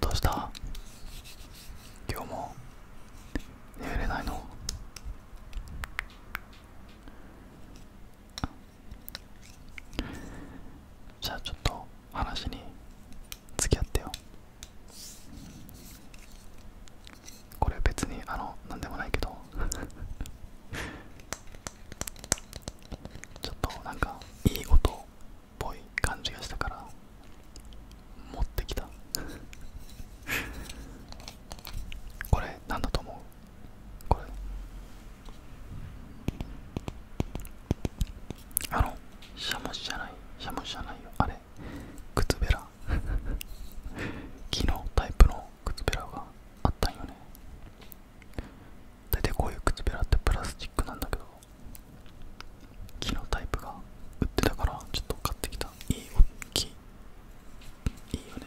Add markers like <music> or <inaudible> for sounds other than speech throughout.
どうした今日も眠れないのじゃあちょっと話に付き合ってよこれ別にあの何でもないけどちょっとなんかいい音っぽい感じがしたから持ってきた <laughs> これなんだと思うこれあのしゃもシじゃないしゃもシじゃないよあれ靴べら木の <laughs> タイプの靴べらがあったよね大体こういう靴べらってプラスチックなんだけど木のタイプが売ってたからちょっと買ってきたいいお木いいよね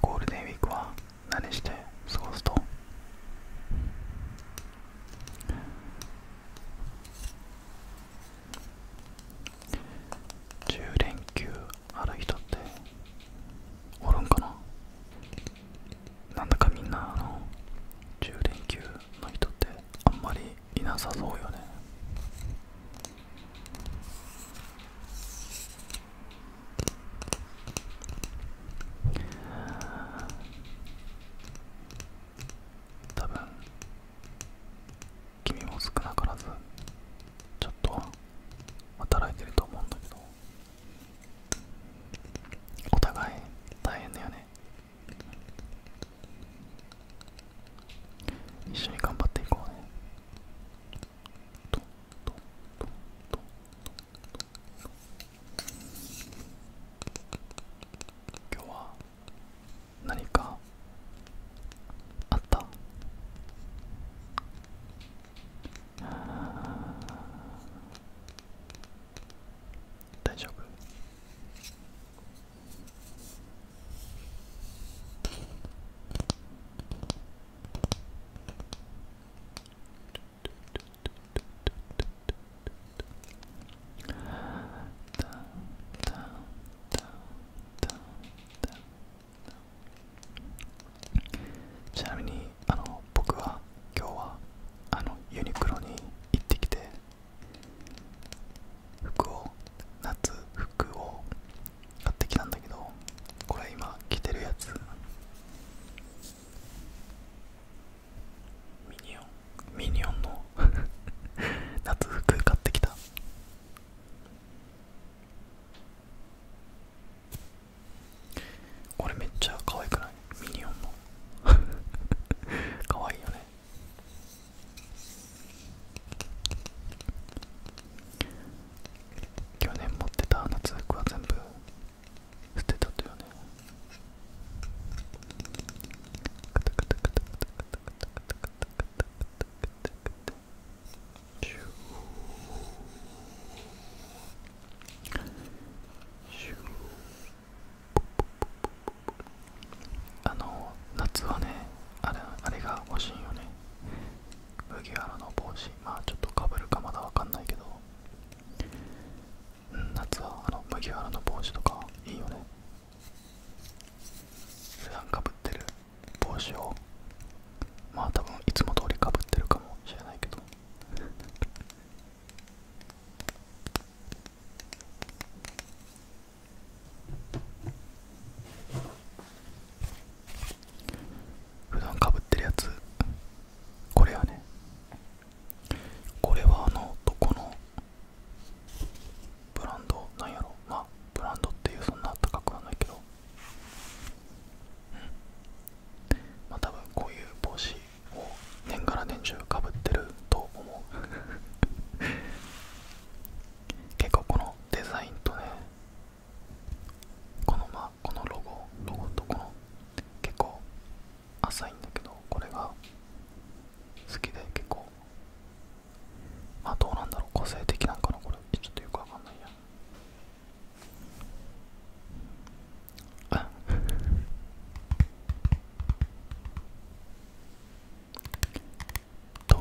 ゴールデンウィークは何して過ごすと10連休ある人っておるんかななんだかみんなあの10連休の人ってあんまりいなさそうよね多分君も少なからずちょっとは働いてると思うんだけどお互い大変だよね一緒に頑張っていこうね今日は何かあった大丈夫ちなみにあの僕は今日はあのユニクロに行ってきて服を夏服を買ってきたんだけどこれ今着てるやつミニオン。ニオンミニオンの <laughs> 夏服買ってきたこれめっちゃ可愛くないミニオンの <laughs> 可愛いよね去年持ってた夏服は全部捨てたとよねカタカタカタカタあの夏はねあれあれが欲しいよね麦わらの帽子まあちょっとかぶるかまだわかんないけど、うん、夏はあの麦わらの帽子とかいいよね普段かぶってる帽子をまあ多分いつも通りかぶってるかもしれないけど普段かぶってるやつこれはねこれはあの男のブランドなんやろまあブランドっていうそんな高くはないけどうんまあ多分こういう帽子を年がら年中かぶってると思う <laughs> 結構このデザインとねこのまあこのロゴロゴとこの結構浅いんだけどこれが好きで結構まあどうなんだろう個性的なんかなこれちょっとよくわかんないやん。あトン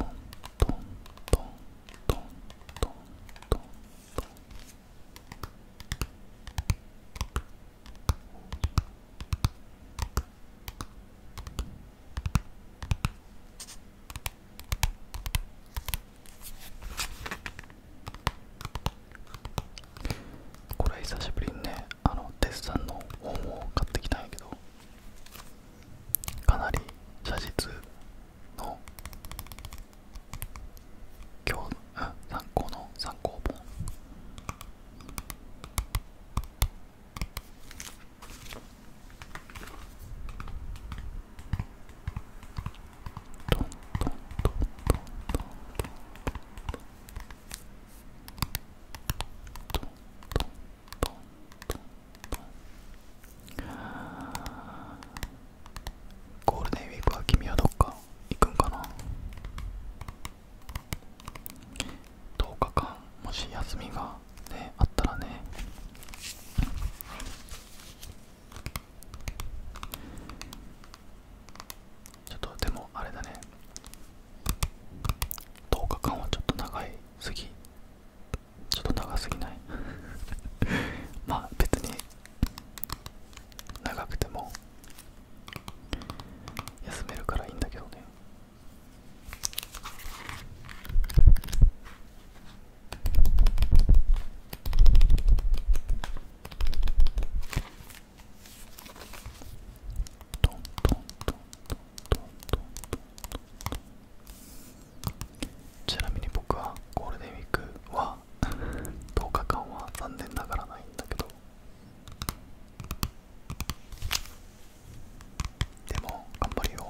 トントントントントントンこれ久しぶりにねあのデッサンの本を買ってきたんやけどかなり写実の今日、うん、参考の参考本トントントントントントントントントンゴールデンウィークは君はどっか行くんかな10日間もし休みが、ね、あったらねちょっとでもあれだね10日間はちょっと長いすぎちょっと長すぎない <laughs> まあ別に長くても休めるからいいんだけどねトントントントントントンちなみに僕はゴールデンウィークは10 <laughs> 日間は残念ながらないんだけどでも頑張るよ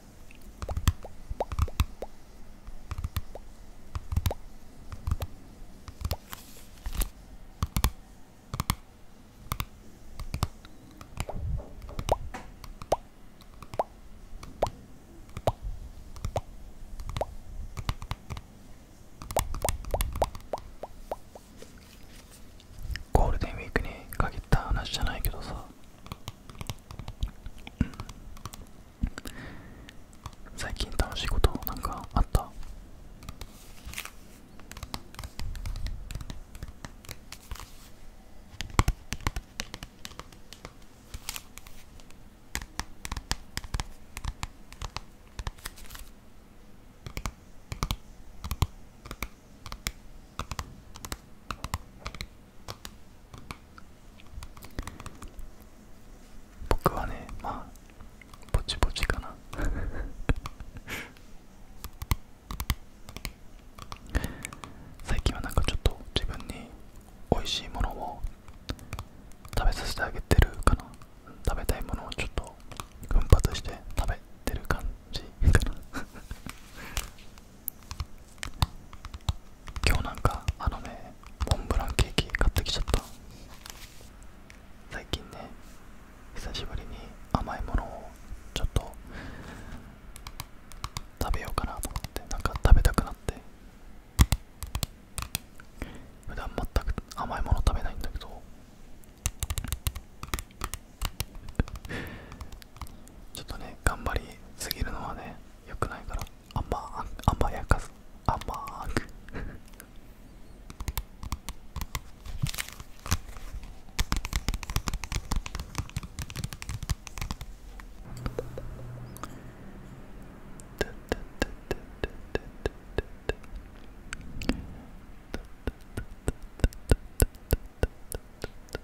ゴールデンウィークに限った話じゃないけどさ、最近楽しいことなんかあった僕はねまあぼちぼちかな <laughs> 最近はなんかちょっと自分に美味しいものを食べさせてあげてるかな食べたいものをちょっと奮発して食べてる感じかな今日なんかあのねモンブランケーキ買ってきちゃった最近ね久しぶりに甘いものをちょっと食べようかなと思ってなんか食べたくなって普段全く甘いもの食べないんだけどちょっとね頑張りすぎるのはね良くないから甘甘やかす甘く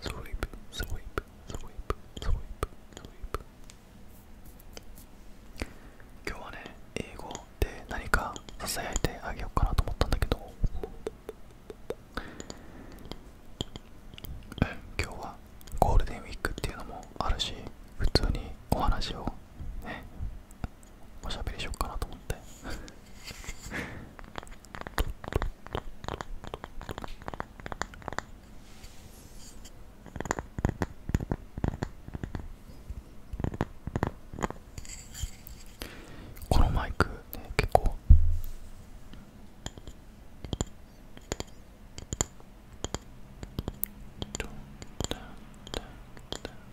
sweep, sweep, sweep, s 今日はね、英語で何か囁いてあげようかなと思ったんだけどうん、今日はゴールデンウィークっていうのもあるし普通にお話をねおしゃべりしようかなと思ってこのマイクね結構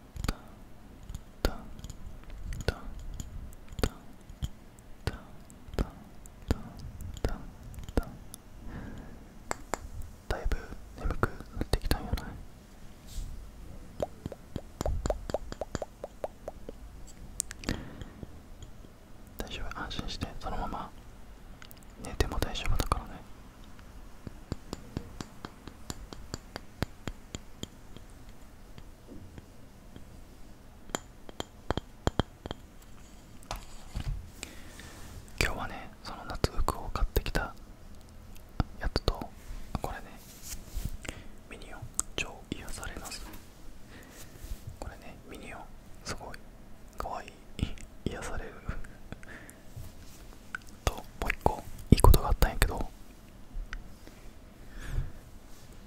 タンタンタンタンタンタンタンタンだいぶ眠くなってきたんやない大丈夫安心してそのまま寝ても大丈夫だからね今日はねその夏服を買ってきたやつとこれねミニオン超癒されますこれねミニオンすごいかわいい癒されるともう1個いいことがあったんやけど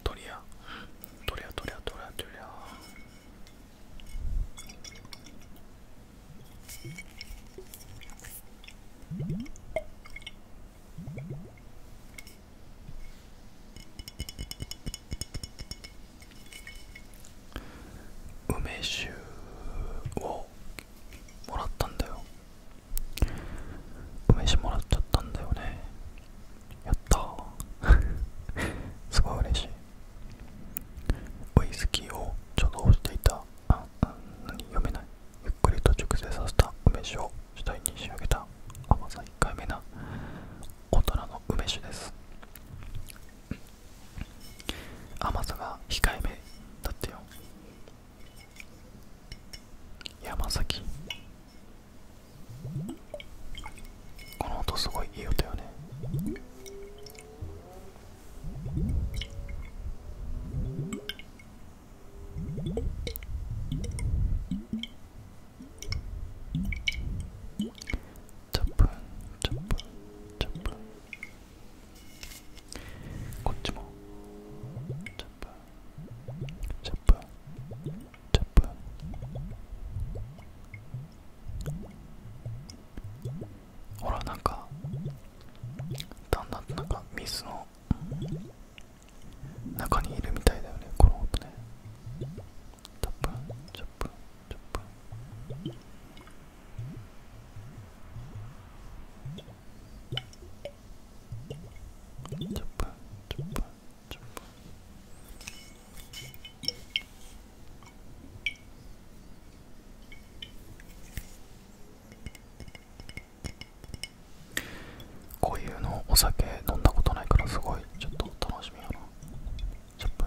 トリアトリアトリアトリアトリア梅酒をもらったんだよお飯もらっちゃったんだよねやったすごい嬉しいウイスキーを貯蔵していたああ何読めないゆっくりと熟成させた梅酒を主体に仕上げた甘さ控えめな大人の梅酒です甘さが控えめだってよ山崎この音すごいいい音よねチャップンチャップンチャップンこっちもチャップンジャンプジャンプほらなんかだんだんなんかミスの中にいるみたいだよねこの音ねタップチャップチャップ10分10分10分こういうのお酒飲んだことないからすごいちょっと楽しみやな10分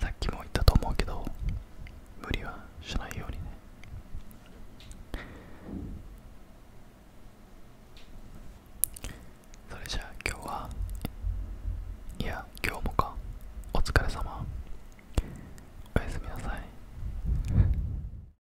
さっきも言ったと思うけど無理はしないようにねそれじゃあ今日はいや今日もかお疲れ様おやすみなさい